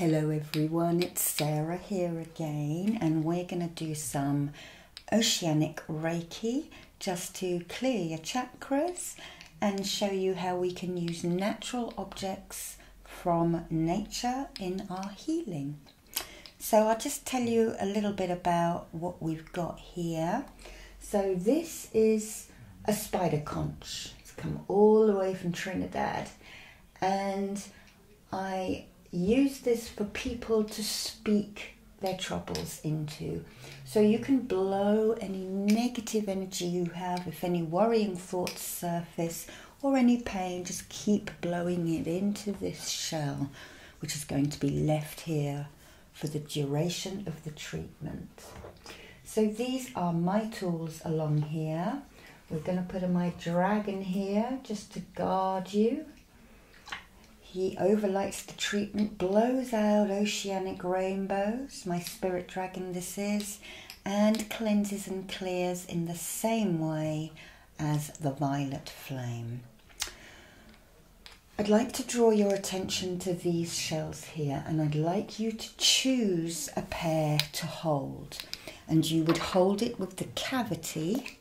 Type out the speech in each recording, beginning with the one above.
Hello everyone, it's Sarah here again and we're going to do some oceanic reiki just to clear your chakras and show you how we can use natural objects from nature in our healing. So I'll just tell you a little bit about what we've got here. So this is a spider conch. It's come all the way from Trinidad. And I use this for people to speak their troubles into. So you can blow any negative energy you have, if any worrying thoughts surface or any pain, just keep blowing it into this shell, which is going to be left here for the duration of the treatment. So these are my tools along here. We're going to put my dragon here just to guard you. He overlights the treatment, blows out oceanic rainbows, my spirit dragon this is, and cleanses and clears in the same way as the violet flame. I'd like to draw your attention to these shells here, and I'd like you to choose a pair to hold and you would hold it with the cavity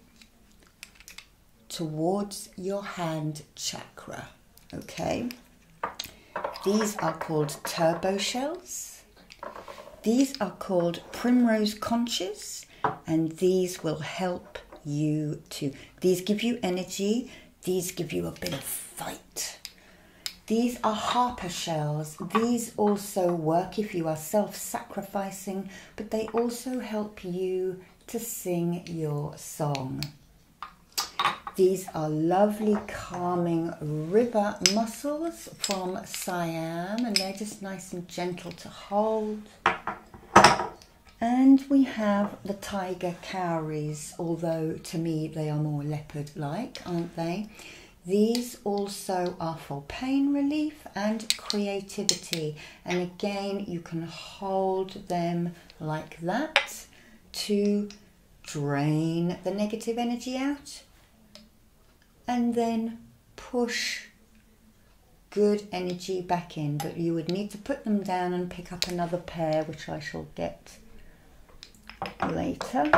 towards your hand chakra. Okay, these are called turbo shells, these are called primrose conches, and these will help you to. These give you energy, these give you a bit of fight. These are harper shells. These also work if you are self sacrificing, but they also help you to sing your song. These are lovely calming river mussels from Siam and they're just nice and gentle to hold. And we have the tiger cowries, although to me they are more leopard-like, aren't they? These also are for pain relief and creativity. And again, you can hold them like that to drain the negative energy out and then push good energy back in. But you would need to put them down and pick up another pair, which I shall get later.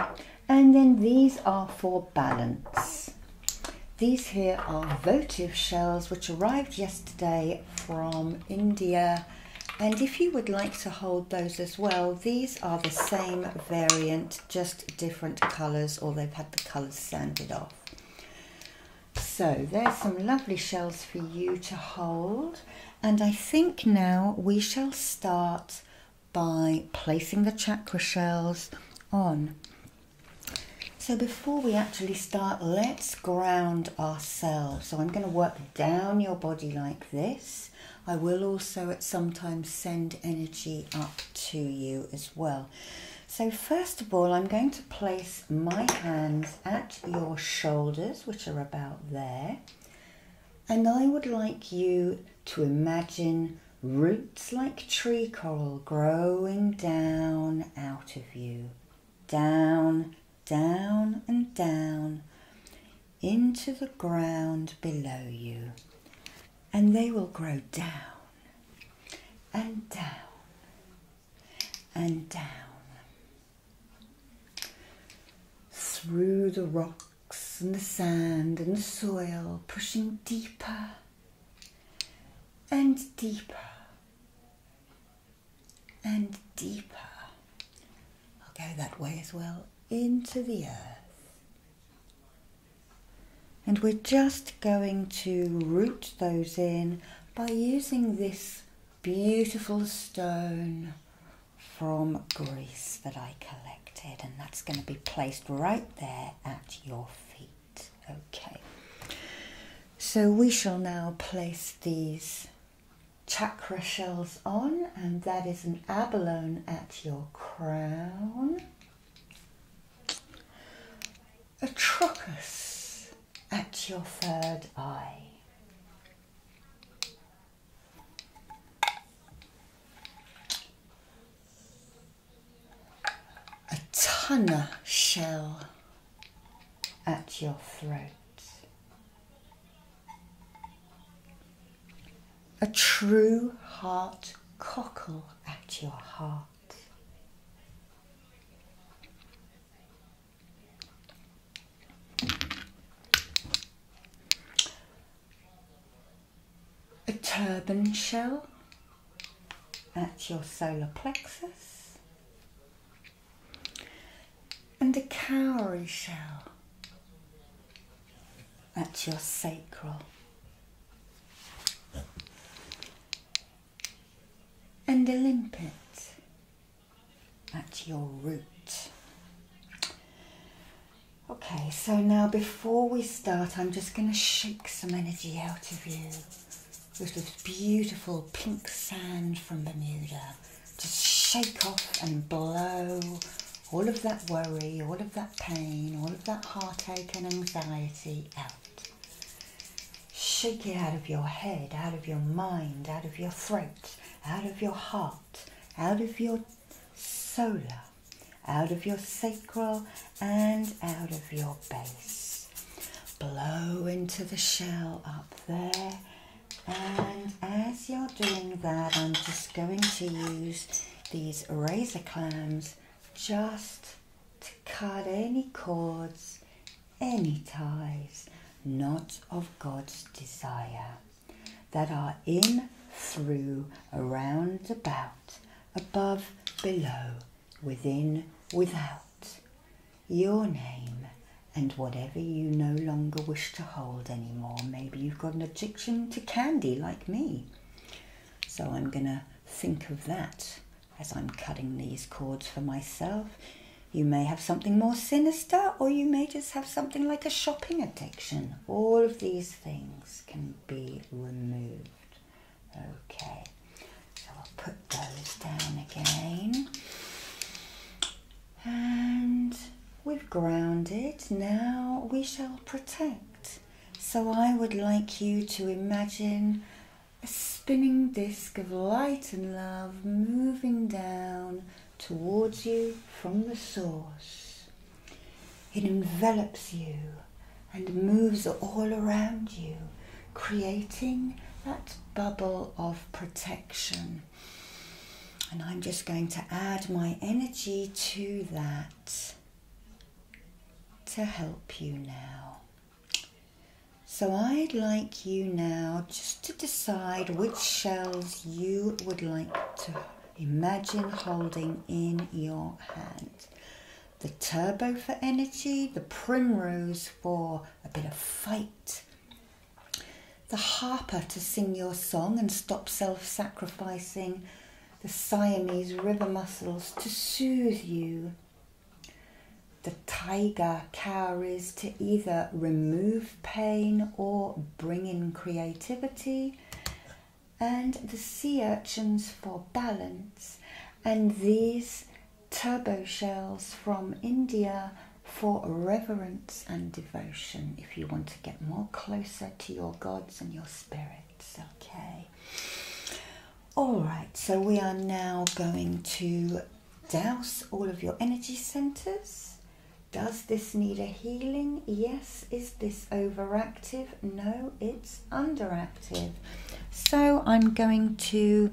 And then these are for balance. These here are votive shells which arrived yesterday from India. And if you would like to hold those as well, these are the same variant, just different colours or they've had the colours sanded off. So there's some lovely shells for you to hold. And I think now we shall start by placing the chakra shells on. So before we actually start, let's ground ourselves. So I'm going to work down your body like this. I will also at some times, send energy up to you as well. So first of all, I'm going to place my hands at your shoulders, which are about there, and I would like you to imagine roots like tree coral growing down out of you, down, down, and down into the ground below you. And they will grow down and down and down through the rock and the sand and the soil, pushing deeper and deeper and deeper. I'll go that way as well into the earth. And we're just going to root those in by using this beautiful stone from Greece that I collected, and that's going to be placed right there at your feet. Okay, so we shall now place these chakra shells on, and that is an abalone at your crown, a trochus at your third eye. A tonner shell at your throat. A true heart cockle at your heart a turban shell. That's your solar plexus. And a cowrie shell. That's your sacral. And a limpet at your root. Okay, so now before we start, I'm just going to shake some energy out of you with this beautiful pink sand from Bermuda. Just shake off and blow all of that worry, all of that pain, all of that heartache and anxiety out. Shake it out of your head, out of your mind, out of your throat, out of your heart, out of your solar out of your sacral and out of your base. Blow into the shell up there. And as you're doing that, I'm just going to use these razor clams just to cut any cords, any ties, not of God's desire that are in, through, around, about, above, below, within, without. Your name and whatever you no longer wish to hold anymore. Maybe you've got an addiction to candy like me. So I'm going to think of that as I'm cutting these cords for myself. You may have something more sinister, or you may just have something like a shopping addiction. All of these things can be removed. Okay, so I'll put those down again. And we've grounded. Now we shall protect. So I would like you to imagine a spinning disc of light and love moving down towards you from the source. It envelops you and moves all around you, creating that bubble of protection. And I'm just going to add my energy to that to help you now. So I'd like you now just to decide which shells you would like to Imagine holding in your hand the turbo for energy, the primrose for a bit of fight, the harper to sing your song and stop self sacrificing, the Siamese river mussels to soothe you, the tiger cowries to either remove pain or bring in creativity, and the sea urchins for balance, and these turbo shells from India for reverence and devotion if you want to get more closer to your gods and your spirits. Okay. All right, so we are now going to douse all of your energy centers does this need a healing? Yes. Is this overactive? No, it's underactive. So I'm going to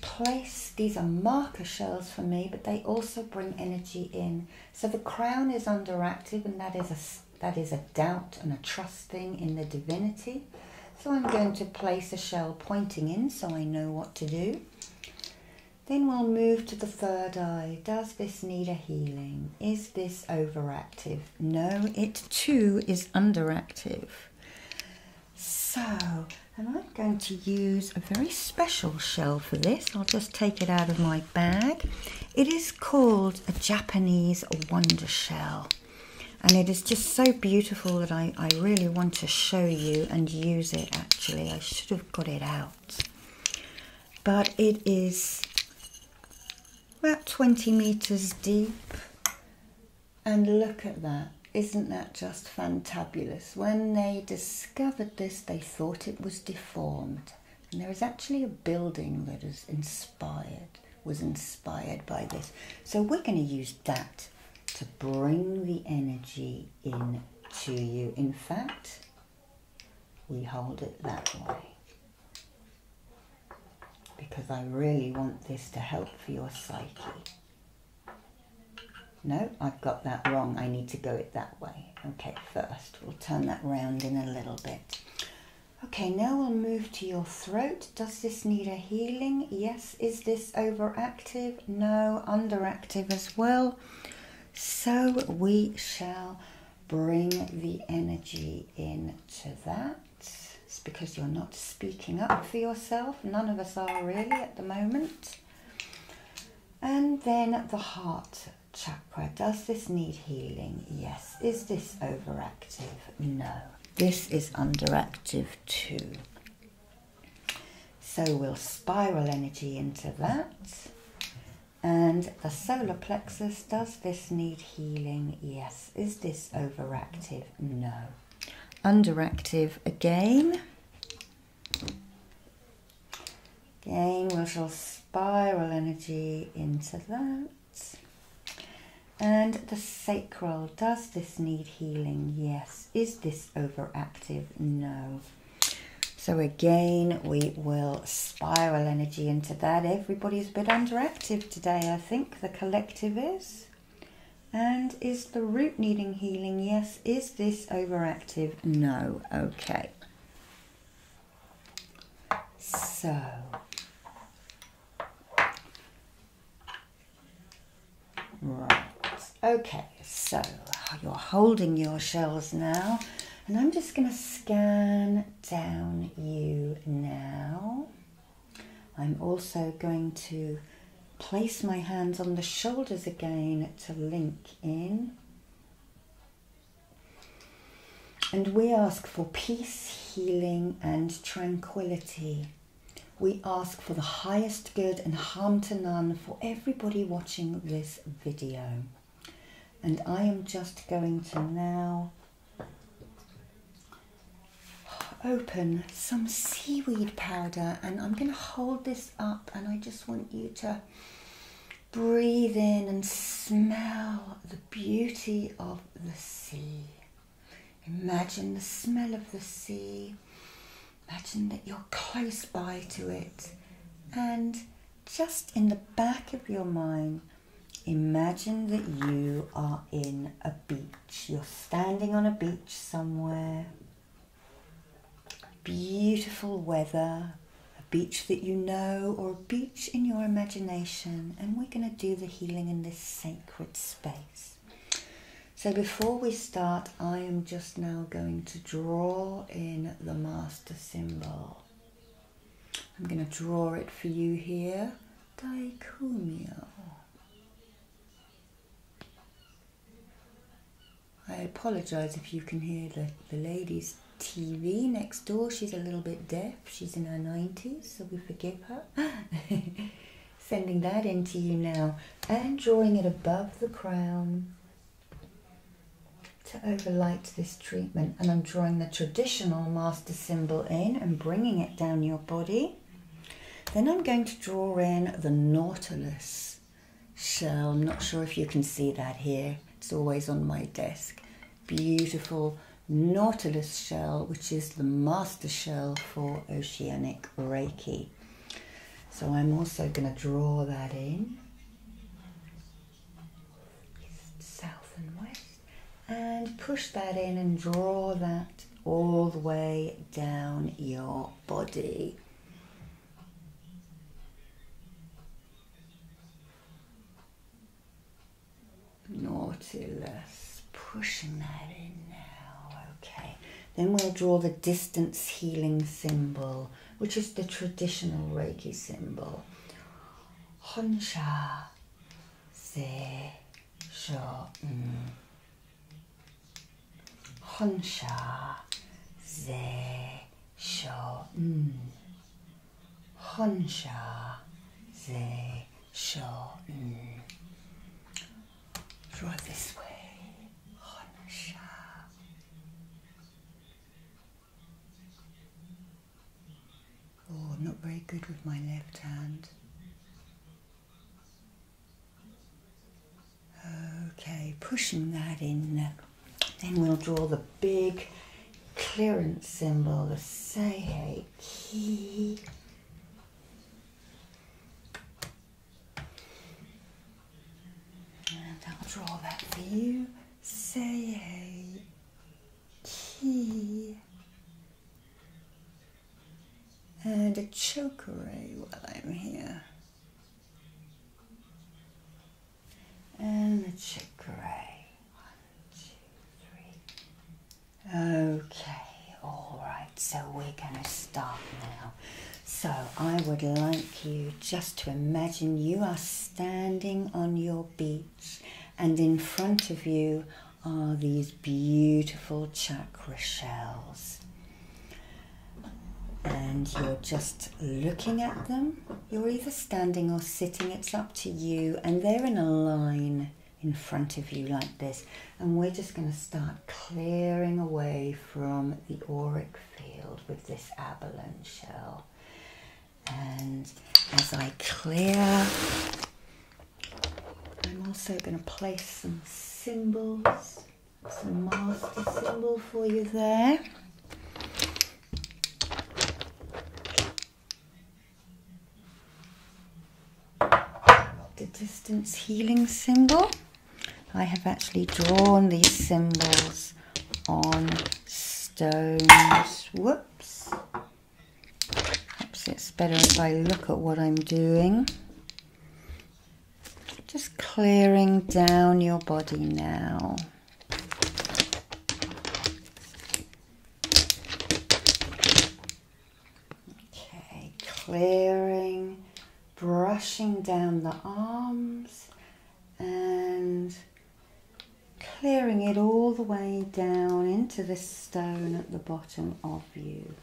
place, these are marker shells for me, but they also bring energy in. So the crown is underactive and that is a, that is a doubt and a trusting in the divinity. So I'm going to place a shell pointing in so I know what to do. Then we'll move to the third eye. Does this need a healing? Is this overactive? No, it too is underactive. So, and I'm going to use a very special shell for this. I'll just take it out of my bag. It is called a Japanese wonder shell. And it is just so beautiful that I, I really want to show you and use it actually. I should have got it out. But it is about 20 meters deep. And look at that. Isn't that just fantabulous? When they discovered this, they thought it was deformed. And there is actually a building that is inspired, was inspired by this. So we're going to use that to bring the energy in to you. In fact, we hold it that way. Because I really want this to help for your psyche. No, I've got that wrong. I need to go it that way. Okay, first, we'll turn that round in a little bit. Okay, now we'll move to your throat. Does this need a healing? Yes. Is this overactive? No. Underactive as well. So we shall bring the energy into that. It's because you're not speaking up for yourself. None of us are really at the moment. And then the heart chakra. Does this need healing? Yes. Is this overactive? No. This is underactive too. So we'll spiral energy into that. And the solar plexus, does this need healing? Yes. Is this overactive? No. Underactive again. Again, we shall spiral energy into that. And the sacral, does this need healing? Yes. Is this overactive? No. So again, we will spiral energy into that. Everybody is a bit underactive today, I think. The collective is. And is the root needing healing? Yes. Is this overactive? No. Okay. So. Right. Okay, so you're holding your shells now, and I'm just going to scan down you now. I'm also going to place my hands on the shoulders again to link in. And we ask for peace, healing, and tranquility. We ask for the highest good and harm to none for everybody watching this video. And I am just going to now open some seaweed powder and I'm going to hold this up and I just want you to breathe in and smell the beauty of the sea. Imagine the smell of the sea Imagine that you're close by to it. And just in the back of your mind, imagine that you are in a beach. You're standing on a beach somewhere. Beautiful weather, a beach that you know, or a beach in your imagination. And we're going to do the healing in this sacred space. So before we start, I am just now going to draw in the master symbol. I'm going to draw it for you here. Daikumyo. I apologise if you can hear the, the lady's TV next door. She's a little bit deaf. She's in her 90s, so we forgive her. Sending that into you now and drawing it above the crown to overlight this treatment and I'm drawing the traditional master symbol in and bringing it down your body. Then I'm going to draw in the nautilus shell. I'm not sure if you can see that here. It's always on my desk. Beautiful nautilus shell, which is the master shell for oceanic Reiki. So I'm also going to draw that in south and west and push that in and draw that all the way down your body. Nautilus, pushing that in now, okay. Then we'll draw the distance healing symbol which is the traditional Reiki symbol. Honsha Se Sho mm. Honsha Ze Sho mm. Honsha Ze Sho Un. Mm. this way. Oh, I'm not very good with my left hand. Okay, pushing that in. Then we'll draw the big clearance symbol, the Seihei key. And I'll draw that for you. Say a key and a chokeray while I'm here. And a chokeray. Okay, all right, so we're going to start now. So I would like you just to imagine you are standing on your beach and in front of you are these beautiful chakra shells. And you're just looking at them. You're either standing or sitting, it's up to you. And they're in a line in front of you like this. And we're just going to start clearing away from the auric field with this abalone shell. And as I clear, I'm also going to place some symbols, some master symbol for you there. The distance healing symbol. I have actually drawn these symbols on stones. Whoops. Perhaps it's better if I look at what I'm doing. Just clearing down your body now. Okay, clearing, brushing down the arms and clearing it all the way down into this stone at the bottom of you.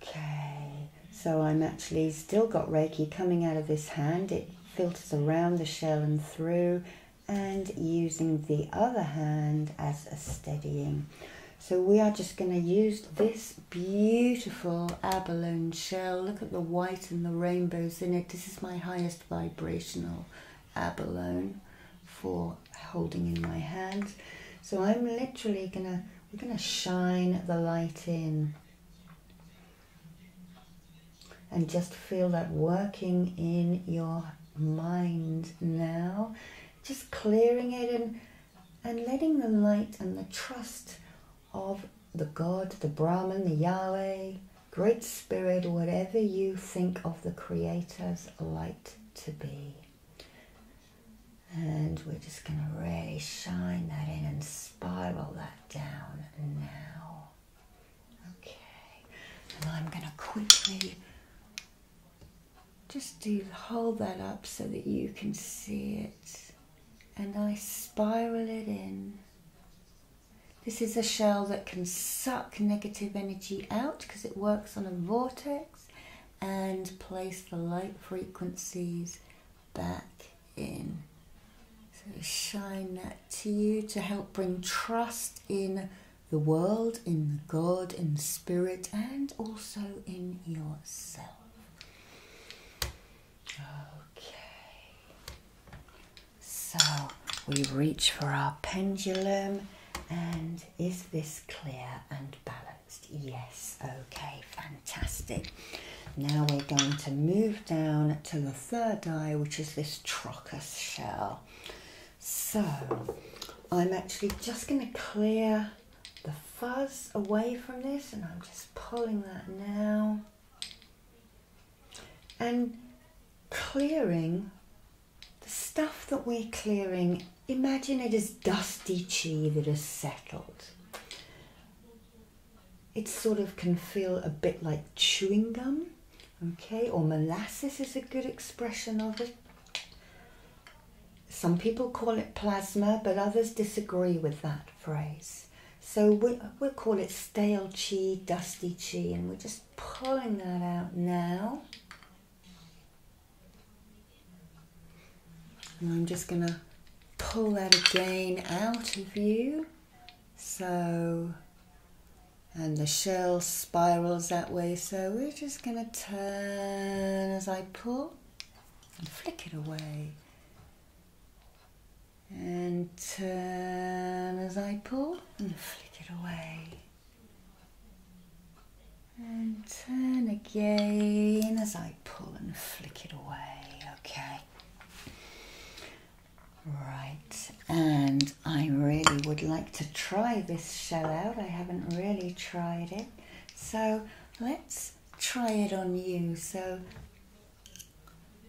Okay, so I'm actually still got Reiki coming out of this hand. It filters around the shell and through and using the other hand as a steadying. So we are just going to use this beautiful abalone shell. Look at the white and the rainbows in it. This is my highest vibrational abalone for holding in my hands. So I'm literally gonna, we're gonna shine the light in and just feel that working in your mind now, just clearing it and and letting the light and the trust of the God, the Brahman, the Yahweh, Great Spirit, whatever you think of the Creator's light to be. And we're just going to really shine that in and spiral that down now. Okay. And I'm going to quickly just do hold that up so that you can see it and I spiral it in. This is a shell that can suck negative energy out because it works on a vortex and place the light frequencies back in. So shine that to you to help bring trust in the world, in God, in spirit, and also in yourself. Okay. So we reach for our pendulum, and is this clear and balanced? Yes. Okay, fantastic. Now we're going to move down to the third eye, which is this trochus shell. So I'm actually just going to clear the fuzz away from this and I'm just pulling that now and clearing the stuff that we're clearing imagine it is dusty chi that has settled it sort of can feel a bit like chewing gum okay or molasses is a good expression of it some people call it plasma but others disagree with that phrase. So we'll, we call it stale chi, dusty chi, and we're just pulling that out now. And I'm just going to pull that again out of you. So, and the shell spirals that way. So we're just going to turn as I pull and flick it away. And turn as I pull and flick it away. And turn again as I pull and flick it away. Okay. Right, and I really would like to try this shell out. I haven't really tried it. So let's try it on you. So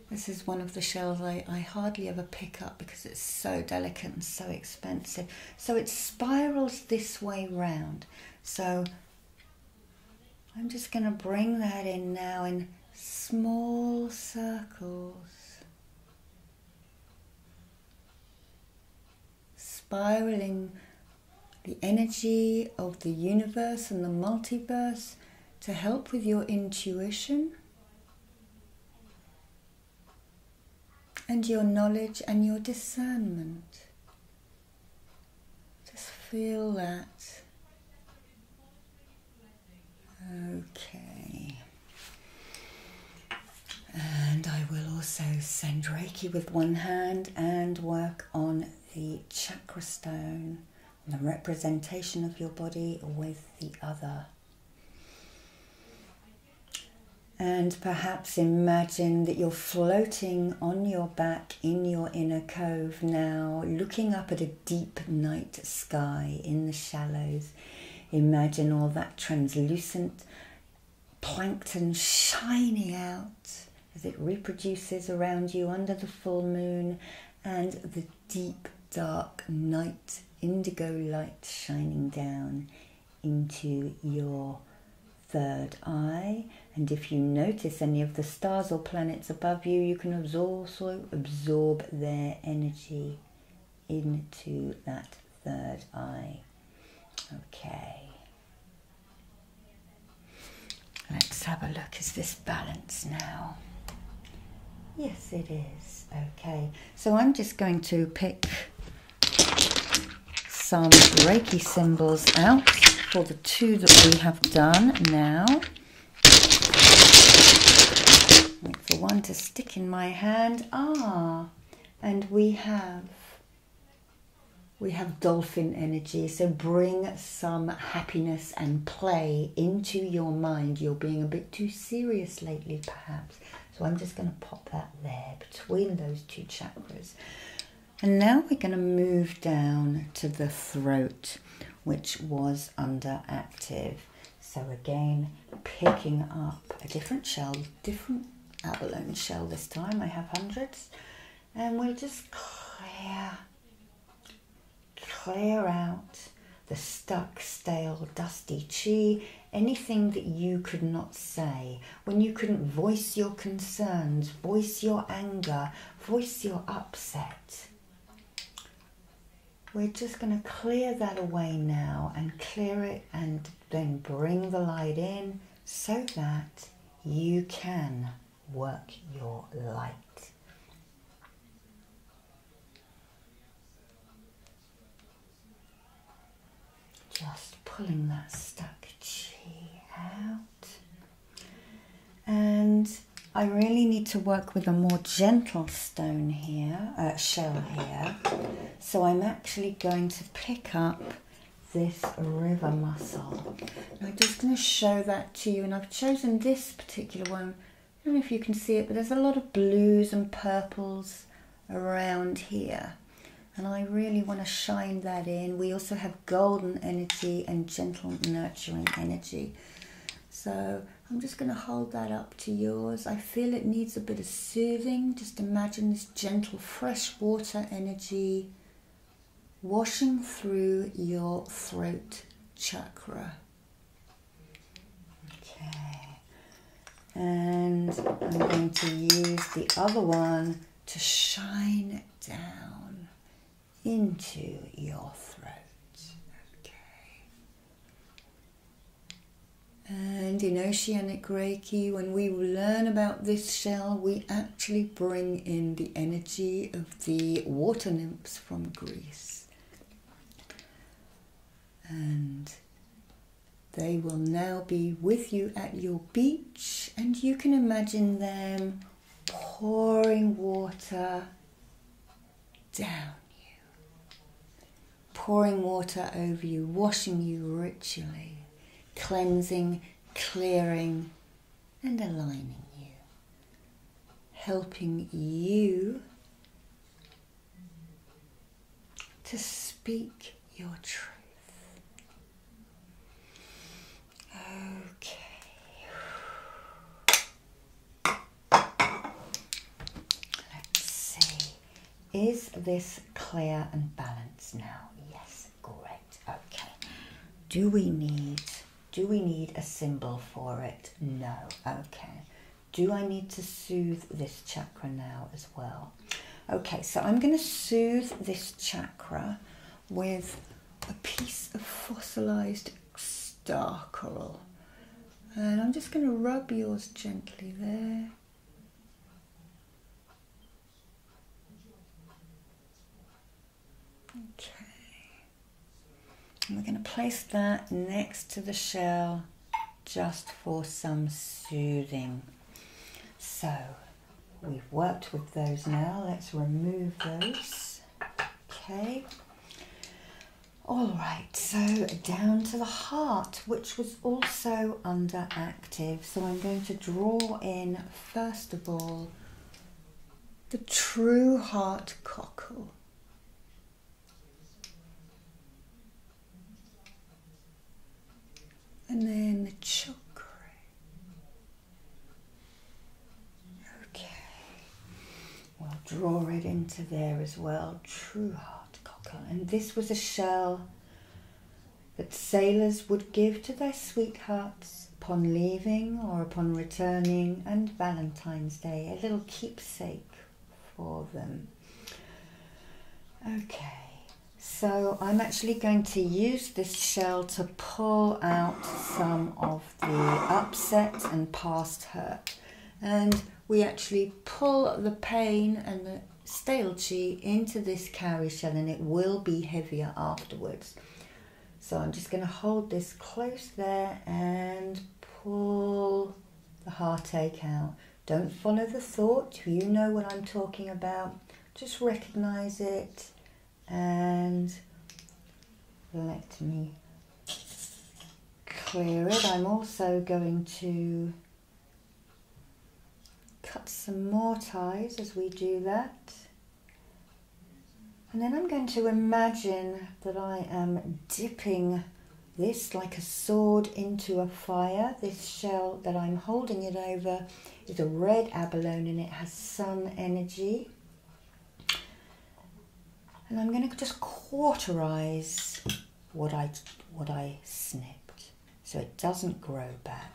this is one of the shells I, I hardly ever pick up because it's so delicate and so expensive. So it spirals this way round. So I'm just going to bring that in now in small circles. Spiraling the energy of the universe and the multiverse to help with your intuition and your knowledge and your discernment. Just feel that. Okay. And I will also send Reiki with one hand and work on the chakra stone the representation of your body with the other. And perhaps imagine that you're floating on your back in your inner cove now, looking up at a deep night sky in the shallows. Imagine all that translucent plankton shining out as it reproduces around you under the full moon and the deep dark night indigo light shining down into your third eye. And if you notice any of the stars or planets above you, you can also absorb their energy into that third eye. Okay. Let's have a look. Is this balance now? Yes, it is. Okay, so I'm just going to pick some Reiki symbols out for the two that we have done now. for one to stick in my hand. Ah, and we have we have dolphin energy, so bring some happiness and play into your mind. You're being a bit too serious lately, perhaps. So I'm just going to pop that there between those two chakras. And now we're going to move down to the throat, which was under active. So again, picking up a different shell, different abalone shell this time. I have hundreds and we will just clear, clear out the stuck, stale, dusty chi, anything that you could not say, when you couldn't voice your concerns, voice your anger, voice your upset. We're just going to clear that away now and clear it and then bring the light in so that you can work your light. Just pulling that stuck chi out. And I really need to work with a more gentle stone here, uh, shell here. So I'm actually going to pick up this river mussel. I'm just going to show that to you and I've chosen this particular one. I don't know if you can see it but there's a lot of blues and purples around here and I really want to shine that in. We also have golden energy and gentle nurturing energy. So I'm just going to hold that up to yours. I feel it needs a bit of soothing. Just imagine this gentle fresh water energy washing through your throat chakra. Okay, and I'm going to use the other one to shine down into your throat. And in Oceanic Reiki, when we learn about this shell, we actually bring in the energy of the water nymphs from Greece. And they will now be with you at your beach, and you can imagine them pouring water down you, pouring water over you, washing you ritually, cleansing, clearing, and aligning you, helping you to speak your truth. Okay. Let's see. Is this clear and balanced now? Yes, great. Okay. Do we need do we need a symbol for it? No. Okay. Do I need to soothe this chakra now as well? Okay, so I'm going to soothe this chakra with a piece of fossilized star coral. And I'm just going to rub yours gently there. Okay. we're going to place that next to the shell just for some soothing. So we've worked with those now. Let's remove those. Okay. All right, so down to the heart, which was also under active. So I'm going to draw in, first of all, the true heart cockle. And then the choker. Okay. well, draw it into there as well. True heart cockle. And this was a shell that sailors would give to their sweethearts upon leaving or upon returning, and Valentine's Day, a little keepsake for them. Okay, so I'm actually going to use this shell to pull out some of the upset and past hurt. And we actually pull the pain and the stale chi into this cowrie shell and it will be heavier afterwards. So I'm just going to hold this close there and pull the heartache out. Don't follow the thought, you know what I'm talking about. Just recognize it and let me clear it. I'm also going to cut some more ties as we do that. And then I'm going to imagine that I am dipping this like a sword into a fire. This shell that I'm holding it over is a red abalone and it has sun energy. And I'm going to just cauterize what I, what I snipped so it doesn't grow back.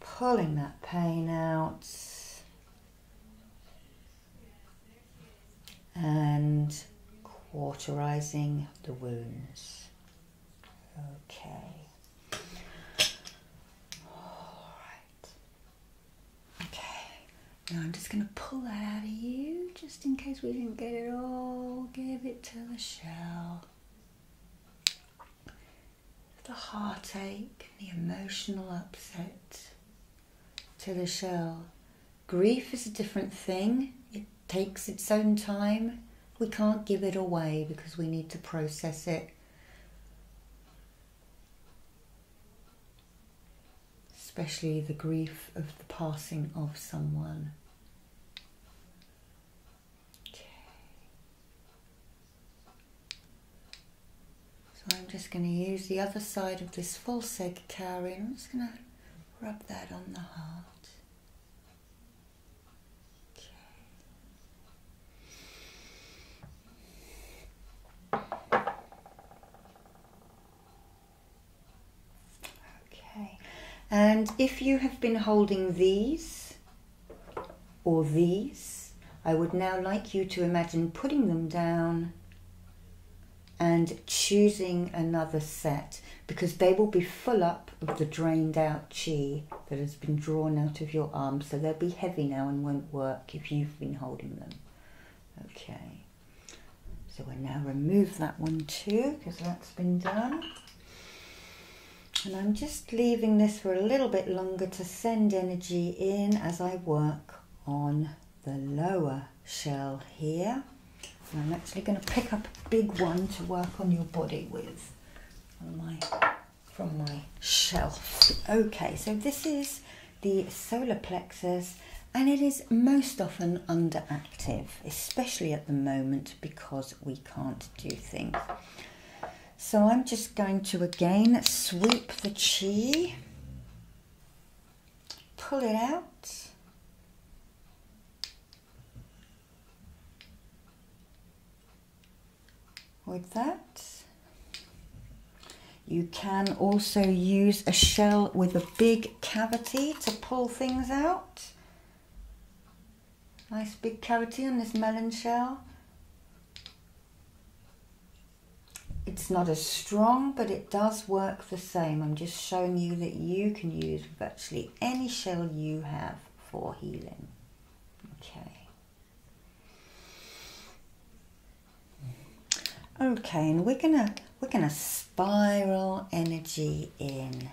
Pulling that pain out. And cauterizing the wounds. Okay. Now I'm just going to pull that out of you just in case we didn't get it all. Give it to the shell the heartache, the emotional upset to the shell. Grief is a different thing, it takes its own time. We can't give it away because we need to process it. Especially the grief of the passing of someone. So I'm just going to use the other side of this false egg cowrie I'm just going to rub that on the heart. okay, and if you have been holding these or these. I would now like you to imagine putting them down and choosing another set because they will be full up of the drained out chi that has been drawn out of your arm. So they'll be heavy now and won't work if you've been holding them. Okay. So we'll now remove that one too because that's been done. And I'm just leaving this for a little bit longer to send energy in as I work on the lower shell here. And I'm actually going to pick up a big one to work on your body with from my, from my shelf. Okay, so this is the solar plexus and it is most often underactive, especially at the moment because we can't do things. So I'm just going to again sweep the chi, pull it out. With that, you can also use a shell with a big cavity to pull things out. Nice big cavity on this melon shell. It's not as strong, but it does work the same. I'm just showing you that you can use virtually any shell you have for healing. Okay. Okay, and we're gonna we're gonna spiral energy in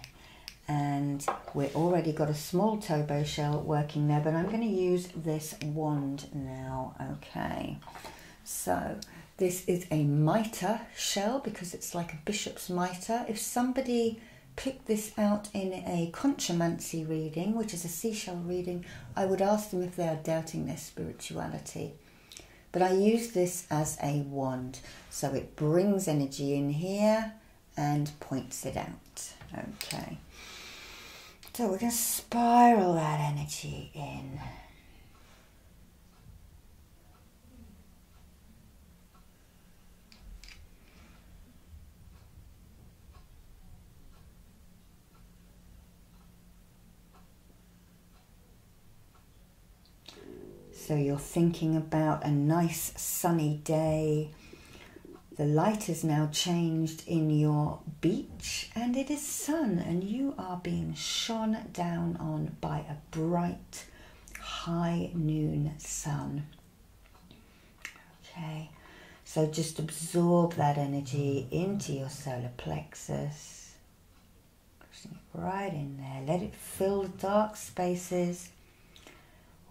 and we've already got a small Tobo shell working there, but I'm going to use this wand now, okay. So this is a mitre shell because it's like a bishop's mitre. If somebody picked this out in a conchomancy reading, which is a seashell reading, I would ask them if they are doubting their spirituality. But I use this as a wand. So it brings energy in here and points it out. Okay. So we're going to spiral that energy in. So you're thinking about a nice sunny day. The light has now changed in your beach and it is sun, and you are being shone down on by a bright high noon sun. Okay, so just absorb that energy into your solar plexus, right in there, let it fill the dark spaces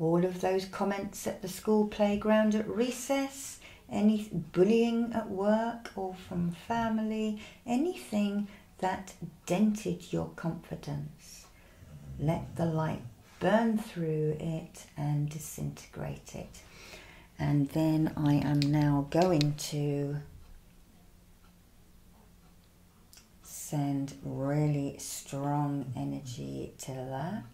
all of those comments at the school playground at recess, any bullying at work or from family, anything that dented your confidence. Let the light burn through it and disintegrate it. And then I am now going to Send really strong energy to that.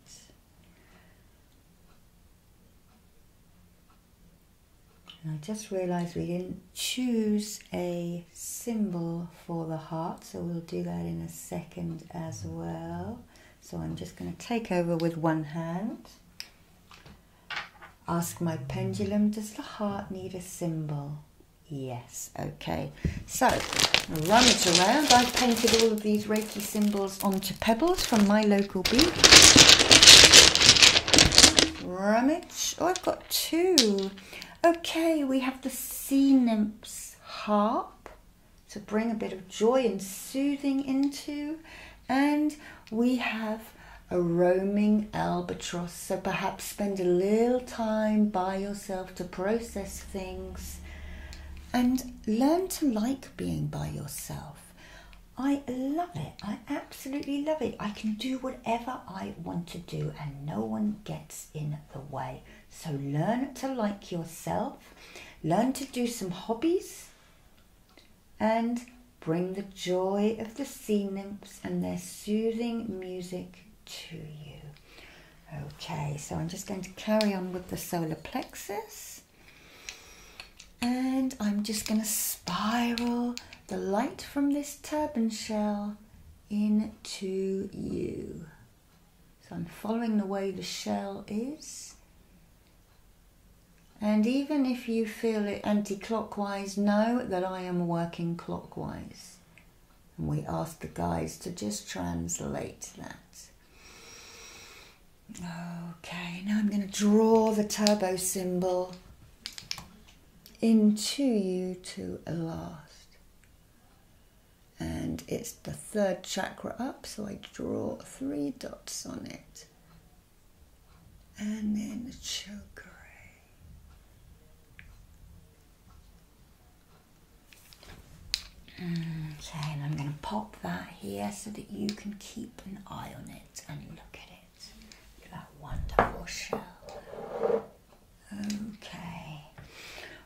I just realised we didn't choose a symbol for the heart, so we'll do that in a second as well. So I'm just going to take over with one hand. Ask my pendulum, does the heart need a symbol? Yes, okay. So, rummage around. I've painted all of these Reiki symbols onto pebbles from my local beach. Rummage. Oh, I've got two. Okay, we have the sea nymph's harp to bring a bit of joy and soothing into. And we have a roaming albatross. So perhaps spend a little time by yourself to process things, and learn to like being by yourself. I love it. I absolutely love it. I can do whatever I want to do and no one gets in the way. So learn to like yourself, learn to do some hobbies, and bring the joy of the sea nymphs and their soothing music to you. Okay, so I'm just going to carry on with the solar plexus and I'm just going to spiral the light from this turban shell into you. So I'm following the way the shell is. And even if you feel it anti clockwise, know that I am working clockwise. And we asked the guys to just translate that. Okay, now I'm going to draw the turbo symbol into you to at last. And it's the third chakra up, so I draw three dots on it. And then the chakra. Okay, and I'm going to pop that here so that you can keep an eye on it and look at it. Look at that wonderful shell. Okay.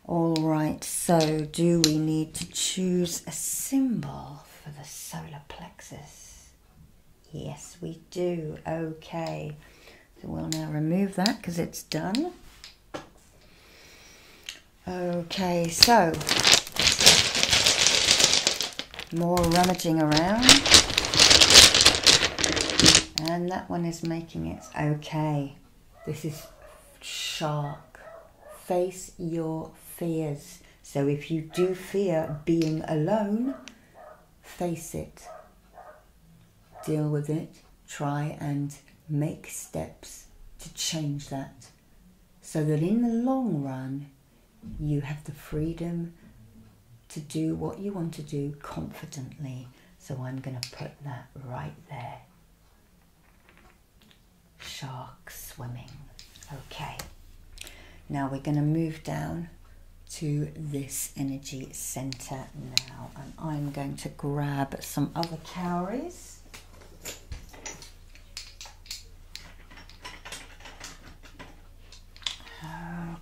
All right, so do we need to choose a symbol for the solar plexus? Yes, we do. Okay. So we'll now remove that because it's done. Okay, so more rummaging around. And that one is making it okay. This is shark. Face your fears. So if you do fear being alone, face it deal with it, try and make steps to change that so that in the long run you have the freedom to do what you want to do confidently. So I'm going to put that right there. Shark swimming. Okay. Now we're going to move down to this energy center now and I'm going to grab some other calories.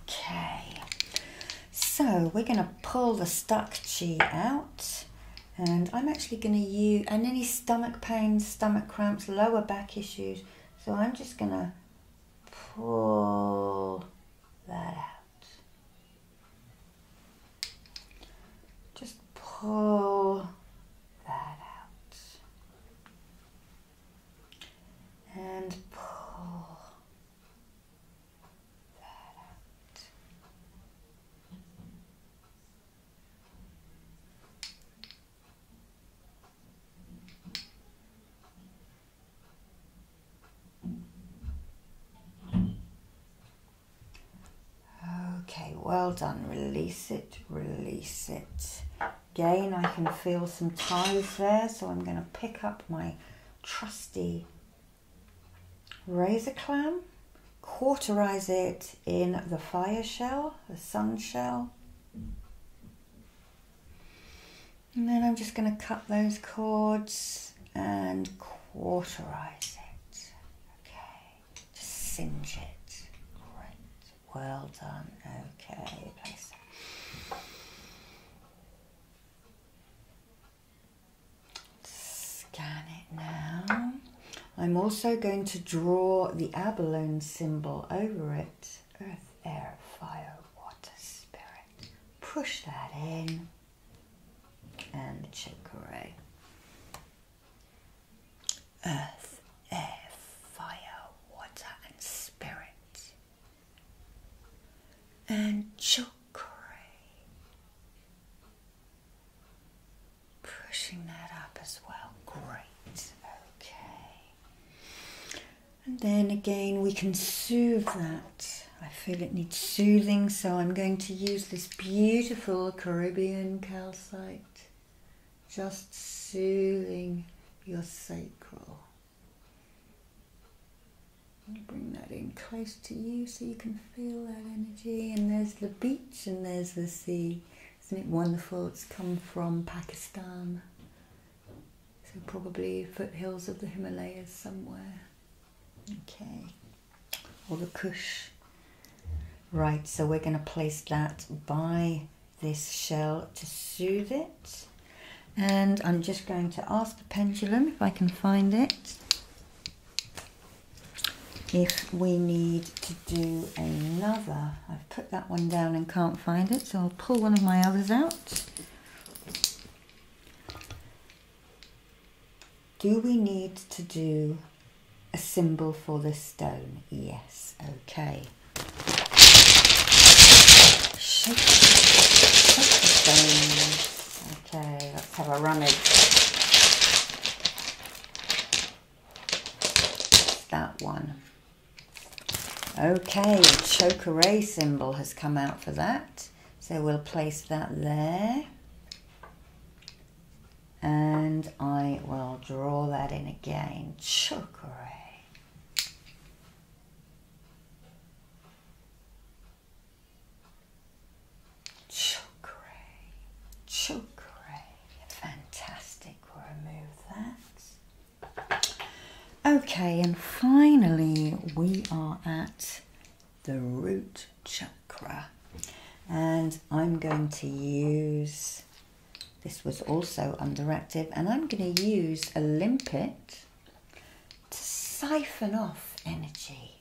Okay, so we're going to pull the stuck chi out and I'm actually going to use, and any stomach pains, stomach cramps, lower back issues, so I'm just going to pull that out. Just pull that out. And pull that out. Okay, well done. Release it, release it. Again, I can feel some ties there, so I'm going to pick up my trusty razor clam, cauterize it in the fire shell, the sun shell. And then I'm just going to cut those cords and cauterize it. Okay, just singe it. Great, well done. Okay, place that. Scan it now. I'm also going to draw the abalone symbol over it. Earth, air, fire, water, spirit. Push that in and chicory. Earth, air, fire, water, and spirit. And chicory. Pushing that up as well. Great. Okay. And then again, we can soothe that I feel it needs soothing, so I'm going to use this beautiful Caribbean calcite, just soothing your sacral. Bring that in close to you so you can feel that energy. And there's the beach and there's the sea. Isn't it wonderful? It's come from Pakistan. So, probably foothills of the Himalayas somewhere. Okay, all the kush. Right, so we're going to place that by this shell to soothe it. And I'm just going to ask the pendulum if I can find it. If we need to do another, I've put that one down and can't find it, so I'll pull one of my others out. Do we need to do a symbol for the stone? Yes, okay. Okay, let's have a rummage. That one. Okay, choke array symbol has come out for that. So we'll place that there. And I will draw that in again. Fantastic. Remove that. Okay, and finally we are at the root chakra. And I'm going to use, this was also underactive, and I'm going to use a limpet to siphon off energy,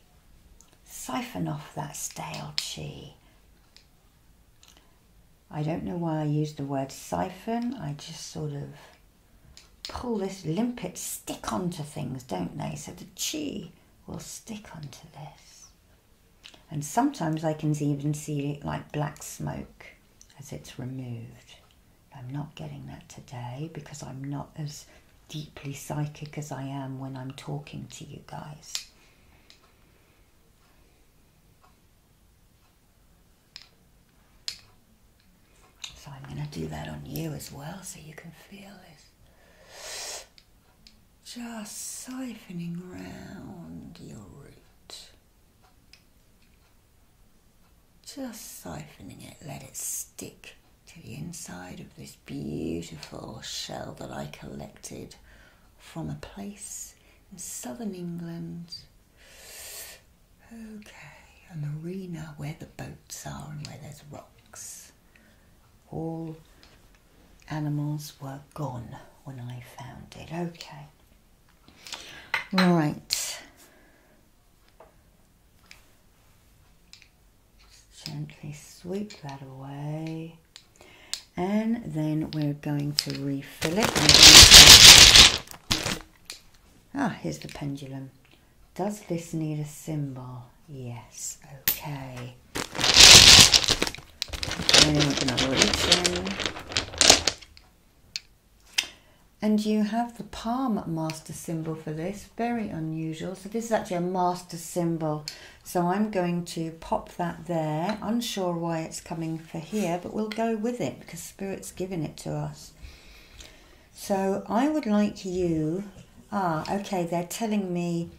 siphon off that stale chi. I don't know why I used the word siphon, I just sort of pull this limpet stick onto things, don't they? So the chi will stick onto this. And sometimes I can even see it like black smoke as it's removed. I'm not getting that today because I'm not as deeply psychic as I am when I'm talking to you guys. So I'm going to do that on you as well so you can feel this. Just siphoning round your root. Just siphoning it, let it stick to the inside of this beautiful shell that I collected from a place in southern England. Okay, a marina where the boats are and where there's rocks. All animals were gone when I found it. Okay. Right. Gently sweep that away. And then we're going to refill it. Ah, here's the pendulum. Does this need a symbol? Yes, okay. Then we And you have the palm master symbol for this, very unusual. So this is actually a master symbol. So I'm going to pop that there. Unsure why it's coming for here, but we'll go with it because Spirit's given it to us. So I would like you, ah, okay, they're telling me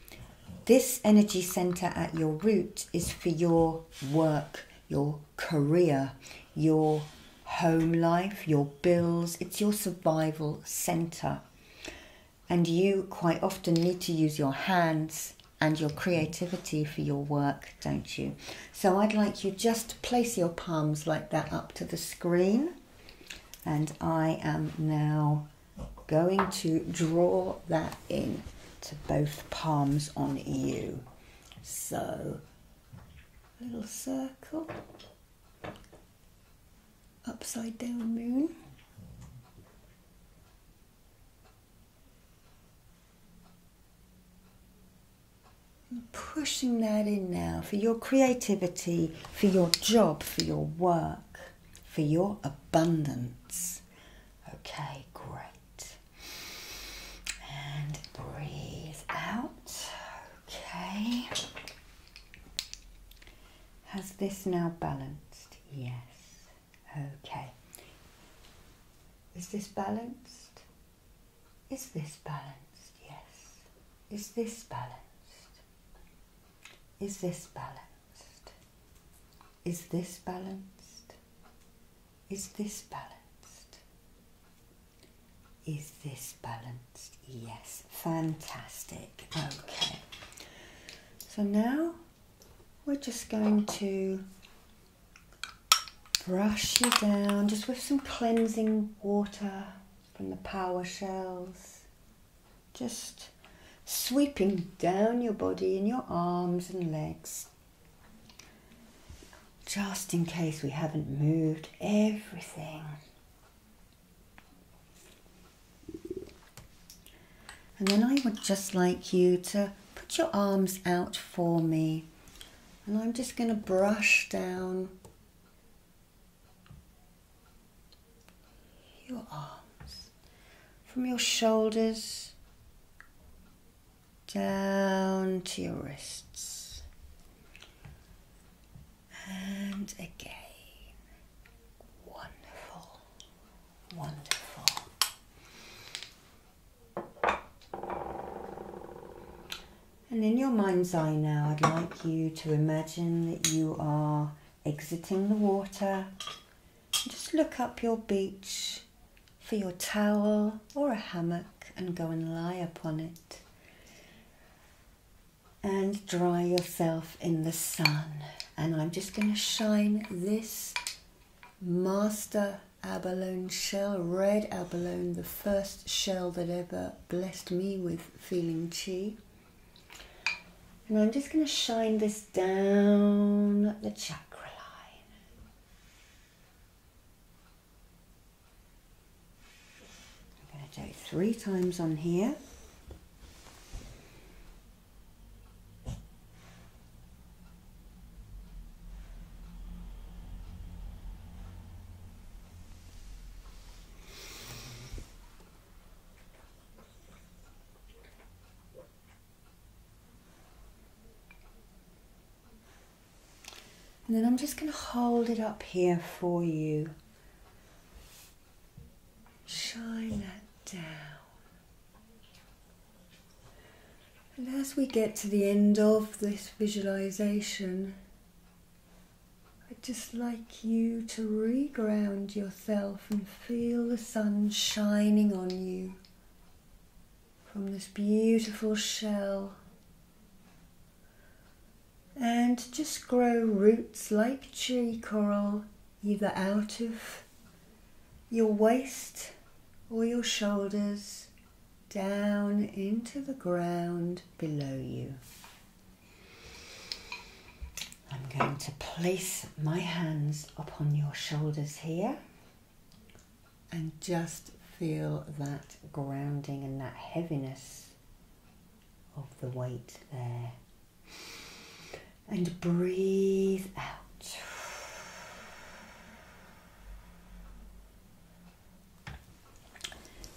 this energy center at your root is for your work, your career, your home life, your bills, it's your survival center. And you quite often need to use your hands and your creativity for your work, don't you? So I'd like you just place your palms like that up to the screen and I am now going to draw that in to both palms on you. So, little circle, upside down moon. Pushing that in now for your creativity, for your job, for your work, for your abundance. Okay, great. And breathe out. Okay. Has this now balanced? Yes. Okay. Is this balanced? Is this balanced? Yes. Is this balanced? Is this balanced? Is this balanced? Is this balanced? Is this balanced? Yes, fantastic. Okay, so now we're just going to brush you down just with some cleansing water from the power shells, just sweeping down your body and your arms and legs. Just in case we haven't moved everything. And then I would just like you to put your arms out for me. And I'm just going to brush down your arms from your shoulders down to your wrists and again wonderful wonderful and in your mind's eye now, I'd like you to imagine that you are exiting the water. Just look up your beach for your towel or a hammock and go and lie upon it. And dry yourself in the sun. And I'm just going to shine this master abalone shell, red abalone, the first shell that ever blessed me with Feeling Chi. And I'm just going to shine this down the chakra line. I'm going to do three times on here. And then I'm just going to hold it up here for you. Shine that down. And as we get to the end of this visualization, I'd just like you to re-ground yourself and feel the sun shining on you from this beautiful shell. And just grow roots like tree coral either out of your waist or your shoulders down into the ground below you. I'm going to place my hands upon your shoulders here and just feel that grounding and that heaviness of the weight there. And breathe out.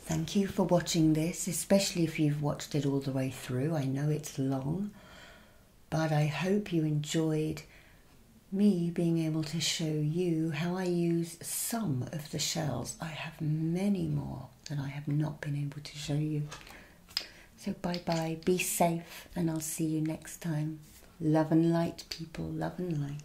Thank you for watching this, especially if you've watched it all the way through. I know it's long, but I hope you enjoyed me being able to show you how I use some of the shells. I have many more that I have not been able to show you. So bye bye, be safe, and I'll see you next time. Love and light, people, love and light.